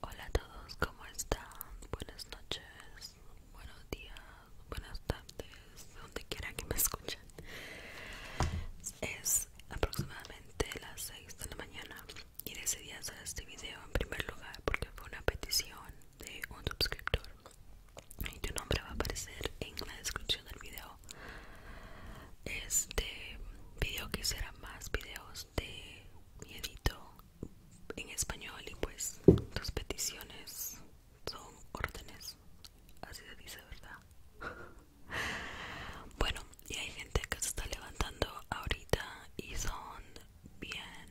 Hola a todos, ¿cómo están? Buenas noches, buenos días, buenas tardes, donde quiera que me escuchen. Es aproximadamente las 6 de la mañana y decidí hacer este video en primer lugar porque fue una petición de un suscriptor y tu nombre va a aparecer en la descripción del video este video que será más videos de miedito en español y pues tus peticiones son órdenes así se dice verdad bueno y hay gente que se está levantando ahorita y son bien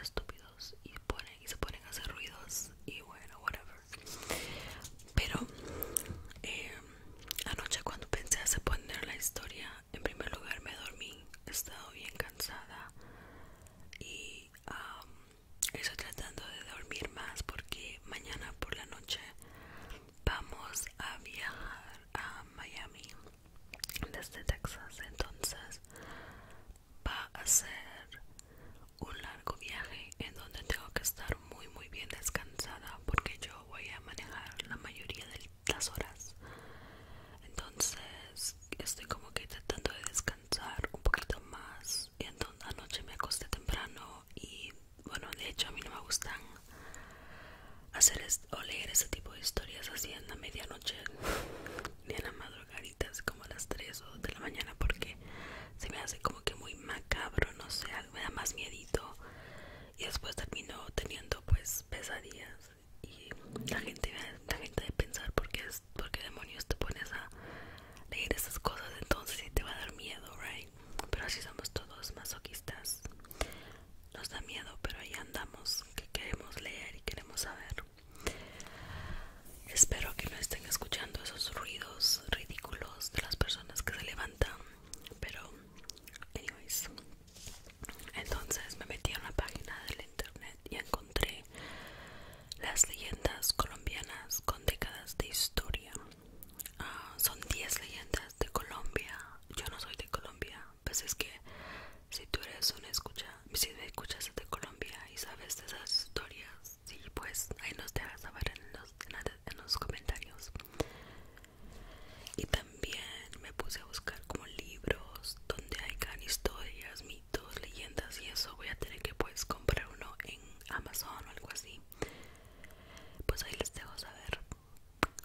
estúpidos y y se ponen a hacer ruidos y bueno whatever pero eh, Anoche cuando pensé hacer poner la historia, en primer lugar me dormí, he estado bien cansada y estoy tratando de dormir más porque mañana por la noche vamos a viajar a Miami desde Texas, entonces va a ser un largo viaje en donde tengo que estar muy muy bien descansada porque yo voy a manejar la mayoría de las horas entonces estoy como que tratando de descansar un poquito más y entonces anoche me acosté temprano y bueno de hecho a mí no me gustan hacer o leer ese tipo de historias así en la medianoche ni en la madrugada así como a las 3 o de la mañana porque se me hace como que muy macabro no sé me da más miedito y después termino teniendo pues pesadillas y la gente la gente de pensar porque es porque demonios te pones a leer esas cosas entonces sí te va a dar miedo right pero así somos todos masoquistas nos da miedo pero ahí andamos que queremos leer y queremos saber espero que no estén escuchando esos ruidos ridículos de las personas que se levantan pero Anyways, entonces me metí a una página del internet y encontré las leyendas colombianas con décadas de historia. Ah, son 10 leyendas de Colombia. Yo no soy de Colombia, pues es que si tú eres una escucha, si me escuchas de Colombia y sabes de esas historias, sí, pues ahí nos dejas ver en los en los comentarios y también me puse a buscar como libros donde hayan historias, mitos, leyendas y eso voy a tener que pues comprar uno en Amazon o algo así pues ahí les dejo saber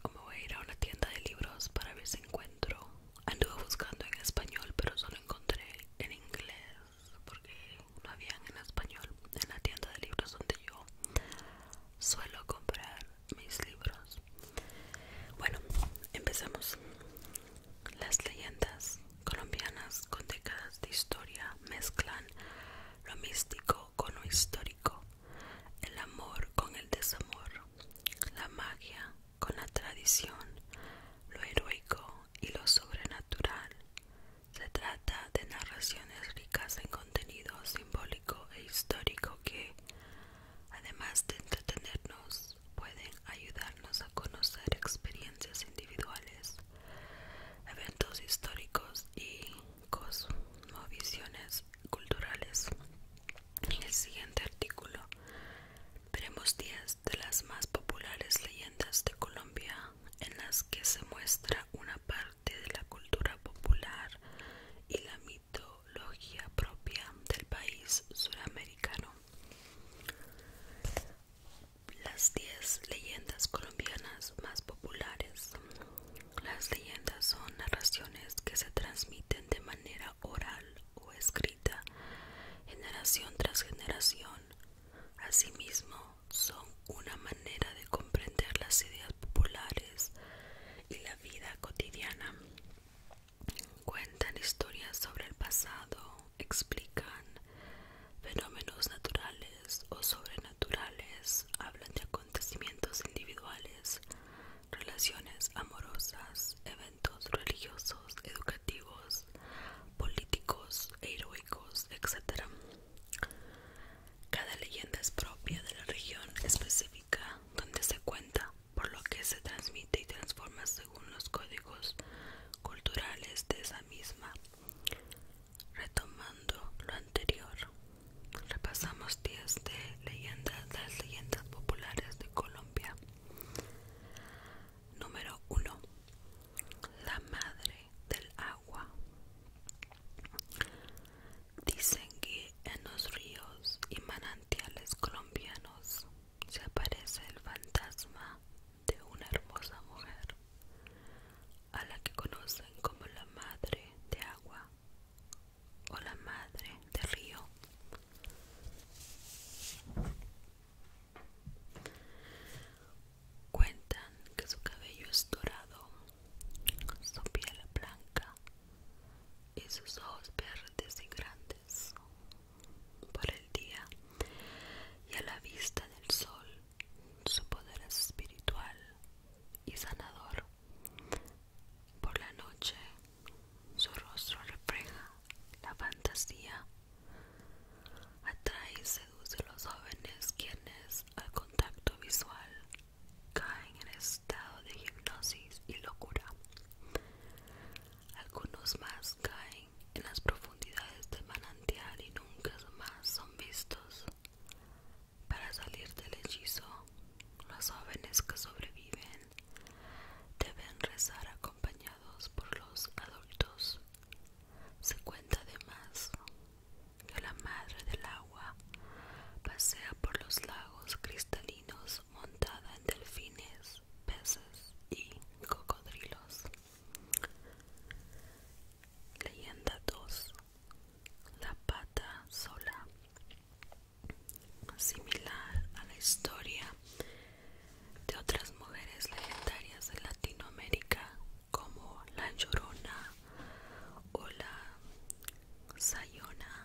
cómo voy a ir a una tienda de libros para ver si encuentro anduve buscando en español pero solo encontré en inglés porque no habían en español en la tienda de libros donde yo suelo comprar mis libros. Bueno, empecemos. Las leyendas colombianas con décadas de historia mezclan lo místico con lo histórico, el amor con el desamor, la magia con la tradición, lo heroico y lo sobrenatural, se trata de narraciones ricas en contenido simbólico e histórico que, además de entretenernos, pueden ayudarnos a conocer experiencias individuales, eventos históricos y cosmovisiones culturales. En el siguiente artículo veremos 10 de las más populares leyendas de Colombia en las que se muestra una parte de la cultura popular y la mitología propia del país suramericano. Las 10 leyendas colombianas más populares. Las leyendas son narraciones que se transmiten de manera oral o escrita, generación tras generación. Asimismo, son una manera de comprender las ideas populares y la vida cotidiana. Cuentan historias sobre el pasado, explican fenómenos naturales o sobrenaturales, hablan de acontecimientos individuales, relaciones amorosas, eventos religiosos, educativos, políticos e heroicos, etc. Cada leyenda es propia de la región específica donde se cuenta, por lo que se transmite y transforma según los códigos culturales de esa misma. Retomando lo anterior, repasamos 10 de leyendas, las leyendas populares de Colombia. Número 1. La madre del agua. Dicen que en los ríos y manantiales colombianos se aparece el fantasma de una hermosa mujer, a la que conocen como la madre de agua o la madre de río. Cuentan que su cabello es dorado, su piel blanca y sus ojos verdes y grandes. Por el día y a la vista del sol, su poder es espiritual y sanador. Por la noche, su rostro refleja la fantasía, atrae y seduce a los jóvenes quienes al contacto visual caen en estado de hipnosis y locura. Algunos más caen en las profundidades del manantial y nunca más son vistos. Para salir del hechizo, los jóvenes que sobreviven deben rezar acompañados por los adultos se cuenta además que la madre del agua pasea por los lagos cristalinos montada en delfines, peces y cocodrilos. Leyenda 2. La pata sola. Similar a la historia de otras mujeres legendarias de Latinoamérica, como la llorona o la sayona.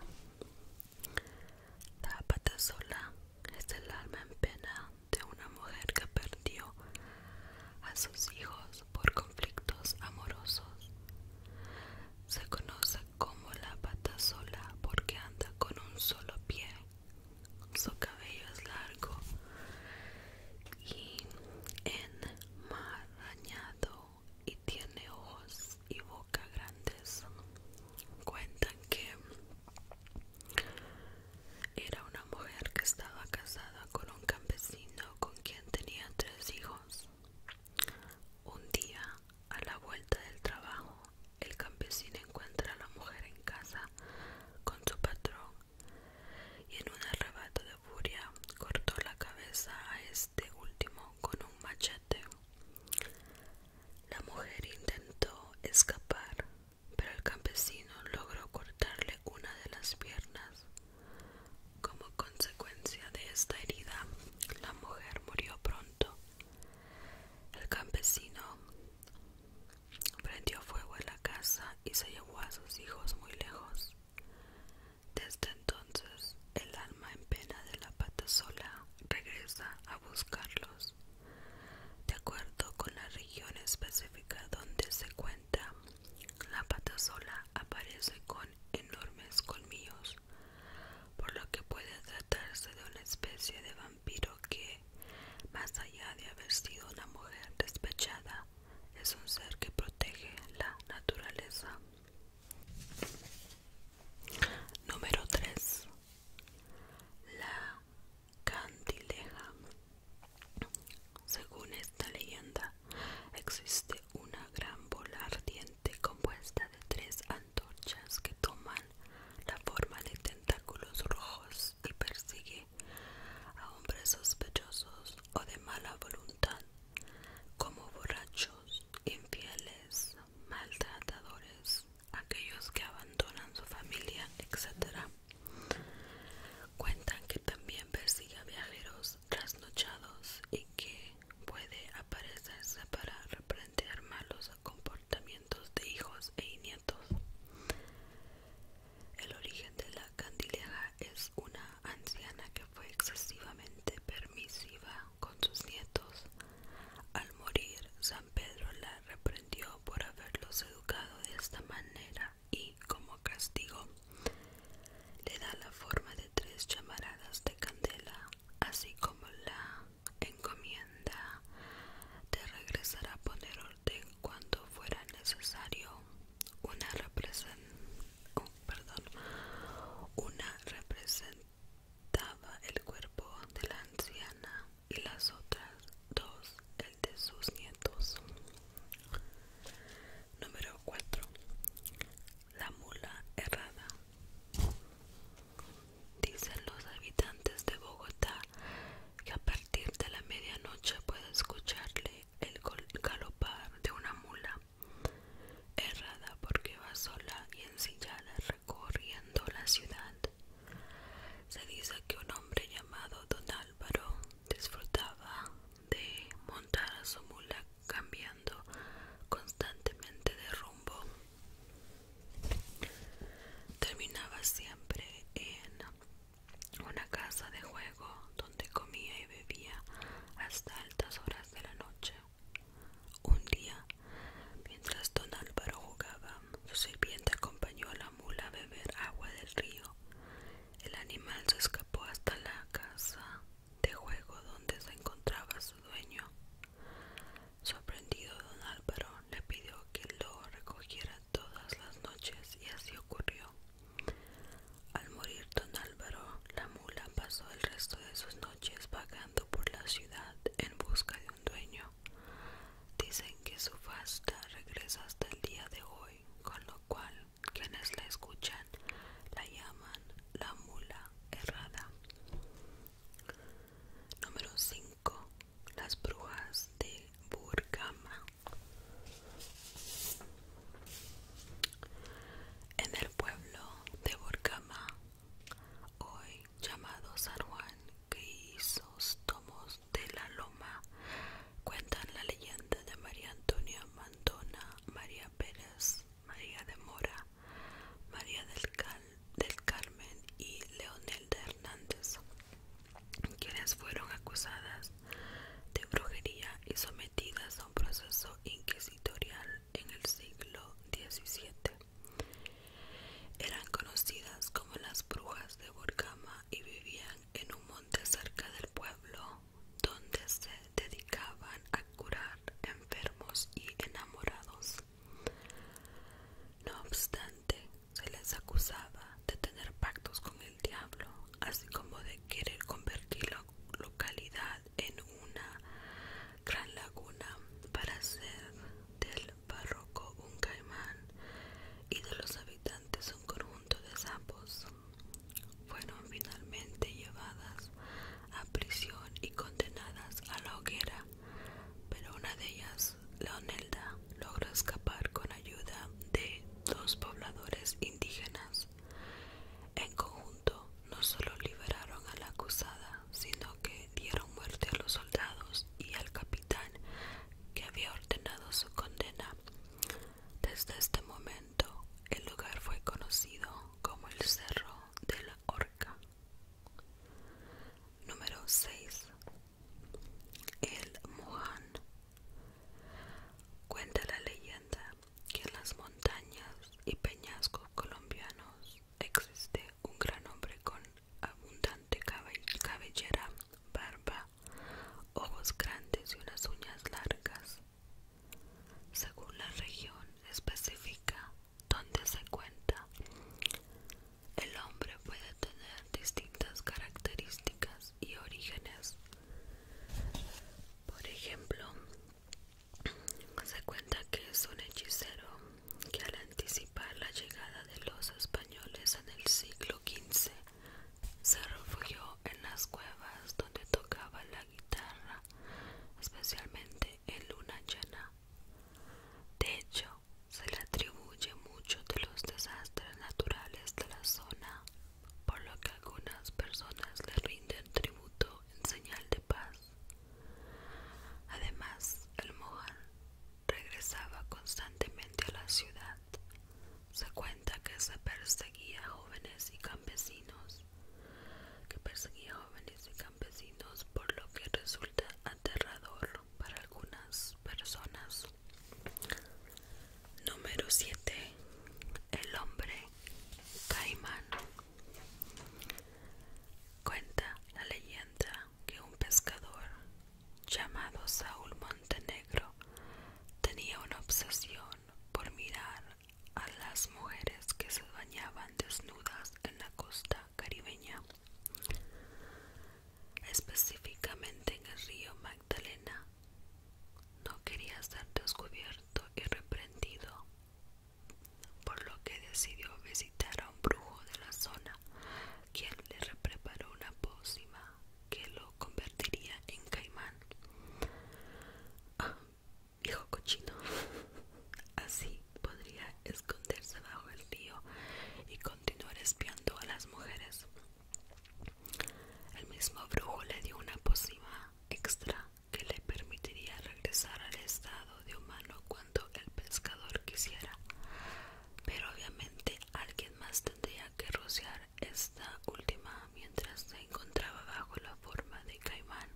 La pata sola es el alma en pena de una mujer que perdió a sus hijos por conflictos amorosos. Se conoce como la pata sola porque anda con un solo pie su cabello es largo y enmarañado y tiene ojos y boca grandes. Cuentan que era una mujer que estaba casada con un campesino con quien tenía tres hijos. Un día, a la vuelta del trabajo, el campesino encuentra a la mujer en casa con su patrón y en un arrebato de furia cortó la cabeza a este último con un machete. La mujer intentó escapar, pero el campesino logró cortarle una de las piernas. Como consecuencia de esta herida, la mujer murió pronto. El campesino Prendió fuego en la casa y se llevó a sus hijos muy lejos. Desde entonces, el alma en pena de la pata sola regresa a buscarlos. De acuerdo con la región específica donde se cuenta, la pata sola aparece con enormes colmillos, por lo que puede tratarse de una especie de vampiro pero que, más allá de haber sido una mujer despechada, es un ser que protege la naturaleza. Número 3. La candileja. Según esta leyenda, existe una gran bola ardiente compuesta de tres antorchas que toman la forma de tentáculos rojos y persigue a hombres sospechosos o de mala voluntad, como borrachos, infieles, maltratadores, aquellos que abandonan su familia, etc. Cuentan que también persigue a viajeros trasnochados y que puede aparecerse para reprender malos comportamientos de hijos e nietos. El origen de la candileja es una anciana que fue excesivamente permisiva con sus nietos. Al morir, San Pedro la reprendió por haberlos educado de esta manera y, como castigo, le da la forma de tres chamaradas de candela, así como la encomienda de regresar a poner de cuando fuera necesario una oh, perdón una representaba el cuerpo de la anciana y las otras dos el de sus nietos número 4 la mula errada Dicen los habitantes de Bogotá que a partir de la medianoche puedo escucharle el galopar de una mula, errada porque va sola y ensillada recorriendo la ciudad. Se dice que un hombre llamado Don Álvaro disfrutaba de montar a su mula cambiando constantemente de rumbo. Terminaba siempre en una casa de juego donde comía y bebía hasta altas horas de la noche. Un día, mientras don Álvaro jugaba, su sirviente acompañó a la mula a beber agua del río. El animal se escapó hasta la casa de juego donde se encontraba su dueño. Sorprendido, don Álvaro le pidió que lo recogiera todas las noches y así ocurrió. Al morir don Álvaro, la mula pasó el resto de sus noches vagando por la ciudad en busca de un dueño. Dicen que su fasta regresa hasta el día de hoy, con lo cual quienes la escuchan la llaman la mula errada. Número 5. Las brujas de Burgama En el pueblo de Burgama, hoy llamado San Juan, que hizo tomos de la loma, cuentan la leyenda de María Antonia Mantona, María Pérez, María de Mora, María del Carmen y Leonel de Hernández quienes fueron acusadas de brujería y sometidas a un proceso inquisitorial en el siglo XVII. Eran conocidas como las brujas de Borgama y vivían en un monte cerca del pueblo donde se dedicaban a curar enfermos y enamorados. No obstante, se les acusaba de tener pactos con el diablo, así como de querer convertir la localidad en una gran laguna para hacer del barroco un caimán y de los habitantes un conjunto de sapos. Fueron finalmente llevadas a prisión y condenadas a la hoguera, pero una de ellas Leonelda logró escapar con ayuda de dos pobladores indígenas. En conjunto, no solo liberaron a la acusada, sino que dieron muerte a los soldados y al capitán que había ordenado su condena. Desde este momento, el lugar fue conocido como el Cerro de la Horca. Número 6. El Mohan. Cuenta la leyenda que en las montañas y peñascos colombianos existe un gran hombre con abundante cabellera, barba, ojos grandes y unas uñas largas. Según la región específica, donde se cuenta. El hombre puede tener distintas características y orígenes. Por ejemplo, se cuenta que es un hechicero que al anticipar la llegada de los españoles en el siglo XV se refugió en las cuevas donde tocaba la guitarra, especialmente en luna llena. De hecho, se le atribuye mucho de los desastres naturales de la zona, por lo que algunas personas le rinden tributo en señal de paz. Además, el Mohan regresaba constantemente a la ciudad. Se cuenta que se perseguía jóvenes y campesinos, que perseguía jóvenes y campesinos, por lo que resulta aterrador para algunas personas. Número 7. El hombre caimán. Cuenta la leyenda que un pescador llamado Saúl Montenegro tenía una obsesión por mirar a las mujeres que se bañaban desnudas en la costa caribeña, específicamente en el río Magdalena. No quería estar descubierto y reprendido, por lo que decidió visitar a un brujo de la zona, quien le preparó una pócima que lo convertiría en caimán. Ah, hijo cochino. Así podría esconderse bajo el río y continuar espiando a las mujeres. El mismo brujo le dio una pocima extra que le permitiría regresar al estado de humano cuando el pescador quisiera. Pero obviamente alguien más tendría que rociar esta última mientras se encontraba bajo la forma de caimán.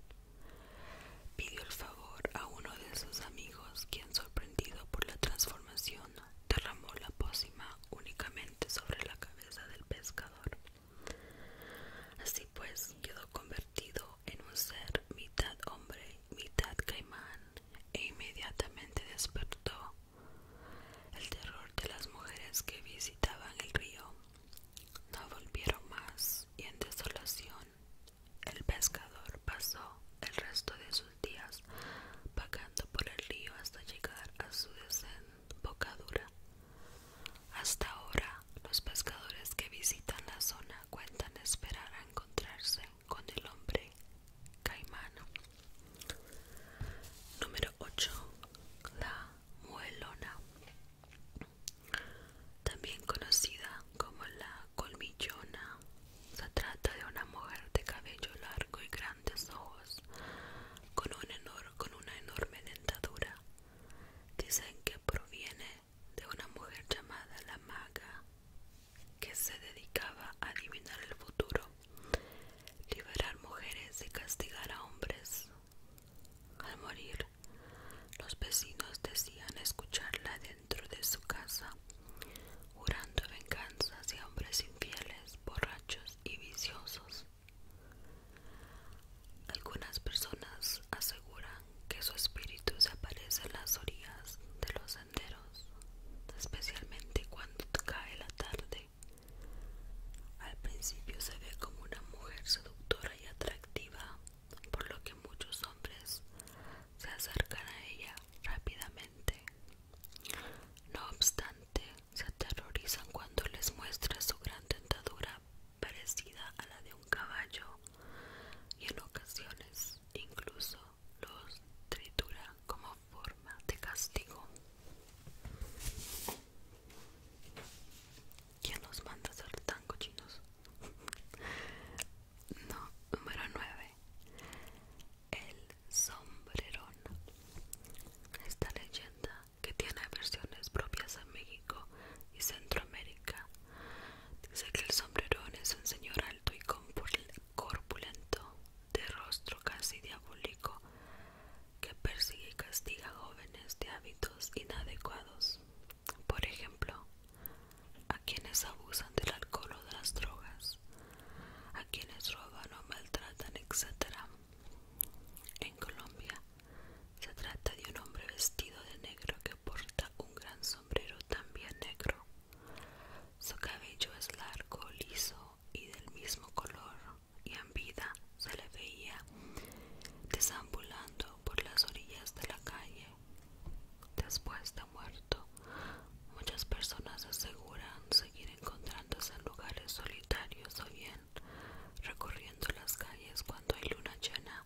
Pidió el favor a uno de sus amigos, quien sorprendido por la transformación derramó la pócima únicamente sobre la cabeza del pescador. Así pues quedó convertido en un ser mitad hombre, mitad caimán, e inmediatamente despertó el terror de las mujeres que visitaban el río. No volvieron más y en desolación el pescador pasó el resto de sus días vagando por el río hasta llegar a su desembocadura. Hasta ahora, los pescadores que visitan la zona cuentan esperar a encontrarse con el hombre caimano. Número 8. La muelona también conocida como la colmillona. Se trata de una mujer de cabello largo y grandes ojos, con una, enorme dentadura. Dicen que proviene de una mujer llamada la maga, que se dedicaba a adivinar el futuro, liberar mujeres y castigar a hombres. Al morir, los vecinos decían escucharla dentro de su casa, jurando venganzas hacia hombres infieles, borrachos y viciosos. Algunas personas aseguran que su espíritu se aparece en las orillas de los senderos, especialmente cuando cae la tarde. Al principio se ve como una mujer seductora y atractiva por lo que muchos hombres se acercan a ella rápidamente. No obstante, se aterrorizan cuando les muestra su gran dentadura parecida a la de un caballo y en ocasiones incluso los tritura como forma de castigo. ¿Quién los manda a hacer tan cochinos? no, número 9. El sombrerón. Esta leyenda que tiene versiones propias a México y Centroamérica. Dice que el sombrerón es un señor alto y corpulento, de rostro casi diabólico, que persigue y castiga a jóvenes de hábitos inadecuados. Por ejemplo, a quienes abusan del alcohol o de las drogas, a quienes roban o maltratan, etc. En Colombia se trata de un hombre vestido de negro que porta un gran sombrero también negro. Su cabello es largo, liso y del mismo color, y en vida se le veía desambulando por las orillas de la calle. Después de muerto, muchas personas aseguran seguir encontrándose en lugares solitarios o bien recorriendo las calles cuando hay luna llena.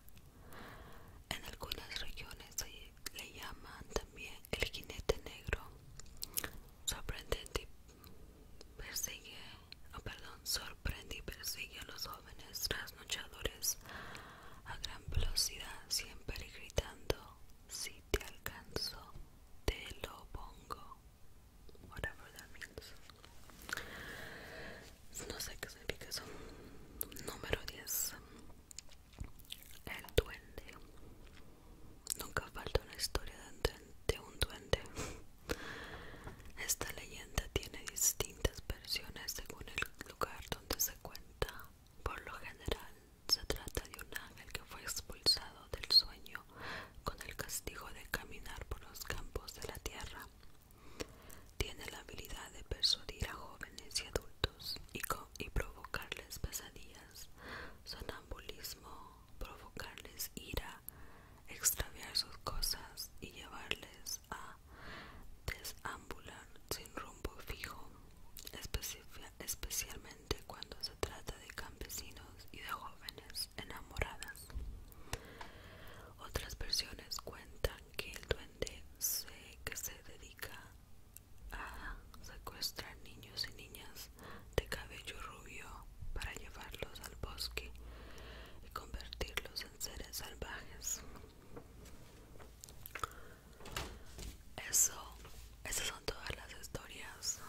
En algunas regiones le llaman también el jinete negro. Sorprendente y persigue, oh, perdón, sorprende y persigue a los jóvenes trasnochadores a gran velocidad, siempre gritando, si te alcanzo, te lo pongo. Whatever that means. No sé qué significa eso. Número 10. El duende. Nunca falta una historia de un duende. Esta leyenda tiene distintas según el lugar donde se cuenta. Por lo general, se trata de un ángel que fue expulsado del sueño con el castigo de caminar por los campos de la tierra. Tiene la habilidad de persuadir a jóvenes y adultos y, y provocarles pesadillas, sonambulismo, provocarles ira, extraviar sus cosas y llevarles a desambular sin rumbo fijo, especialmente cuando se trata de campesinos y de jóvenes enamoradas. Otras versiones cuentan que el duende se, que se dedica a secuestrar niños y niñas de cabello rubio para llevarlos al bosque y convertirlos en seres salvajes. Eso, esas son todas las historias.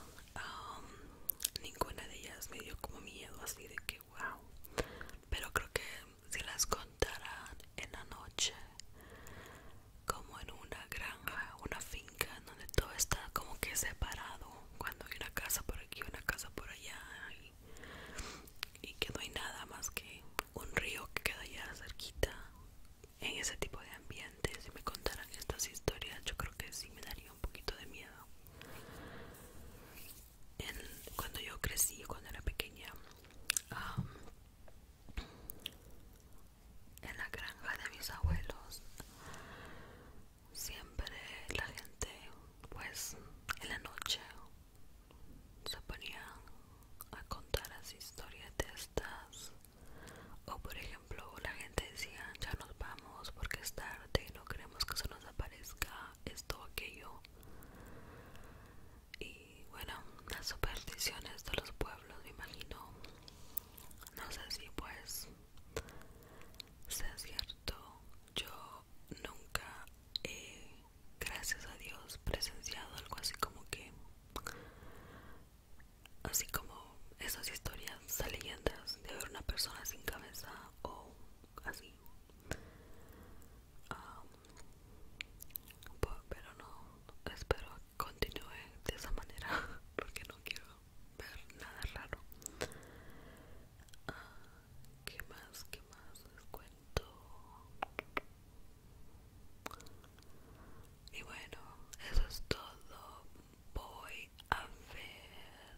ninguna de ellas me dio como miedo así de que wow. Pero creo que se las contarán en la noche, como en una granja, una finca, donde todo está como que separado, cuando hay una casa por aquí, una casa por allá y, que no hay nada más que un río que queda ya cerquita en ese tipo de ambiente. Si me contaran estas historias, yo creo que sí me daría un poquito de miedo. cuando yo crecí, cuando era pequeña, en la granja de mis abuelos, siempre la gente pues en la noche se ponían a contar las historias de estas o por ejemplo la gente decía ya nos vamos porque es tarde no queremos que se nos aparezca esto o aquello y bueno las supersticiones de los pueblos me imagino no sé si pues sea cierto yo nunca he, gracias a Dios, presenciado algo así como que, así como esas historias, salientes de ver una persona sin cabeza o así. pero no, espero que continúe de esa manera porque no quiero ver nada raro. Ah, ¿Qué más? ¿Qué más les cuento? Y bueno, eso es todo. Voy a ver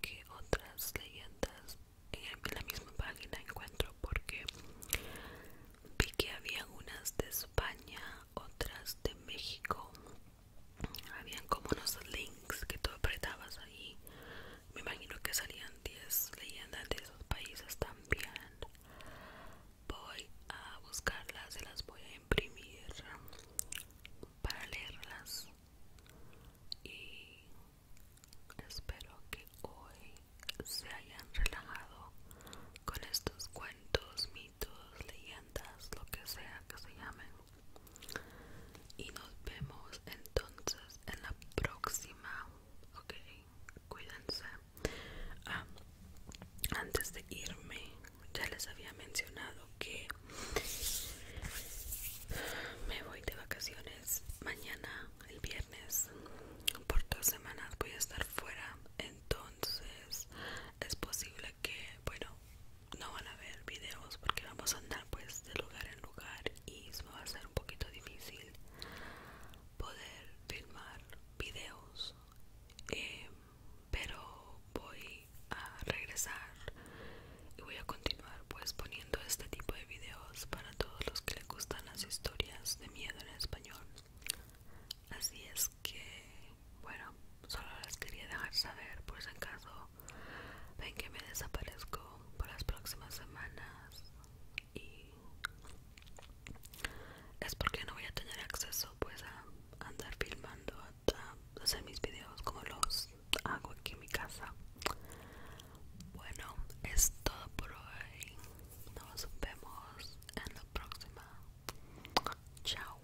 qué otras leyendas en la misma página encuentro porque vi que había unas de España, otras de México habían como unos links que tú apretabas ahí me imagino que salían 10 leyendas de esos países también voy a buscarlas y las voy a imprimir para leerlas y espero que hoy se hayan relajado con estos cuentos mitos leyendas lo que sea que se llamen y nos vemos entonces en la próxima ok cuídense ah, antes de irme ya les había mencionado que me voy de vacaciones mañana el viernes por dos semanas voy a estar fuera entonces es posible que bueno no van a ver videos porque vamos a andar pues de lugar en lugar y eso va a ser un poquito difícil poder filmar videos eh, pero voy a regresar y voy a continuar pues poniendo este tipo de videos para todos los que les gustan las historias de miedo en español así es que bueno solo las quería dejar saber por pues, si caso ven que me desaparezco por las próximas semanas y es porque no voy a tener acceso pues a andar filmando Hasta hacer mis videos como los hago aquí en mi casa bueno es todo por hoy nos vemos en la próxima chao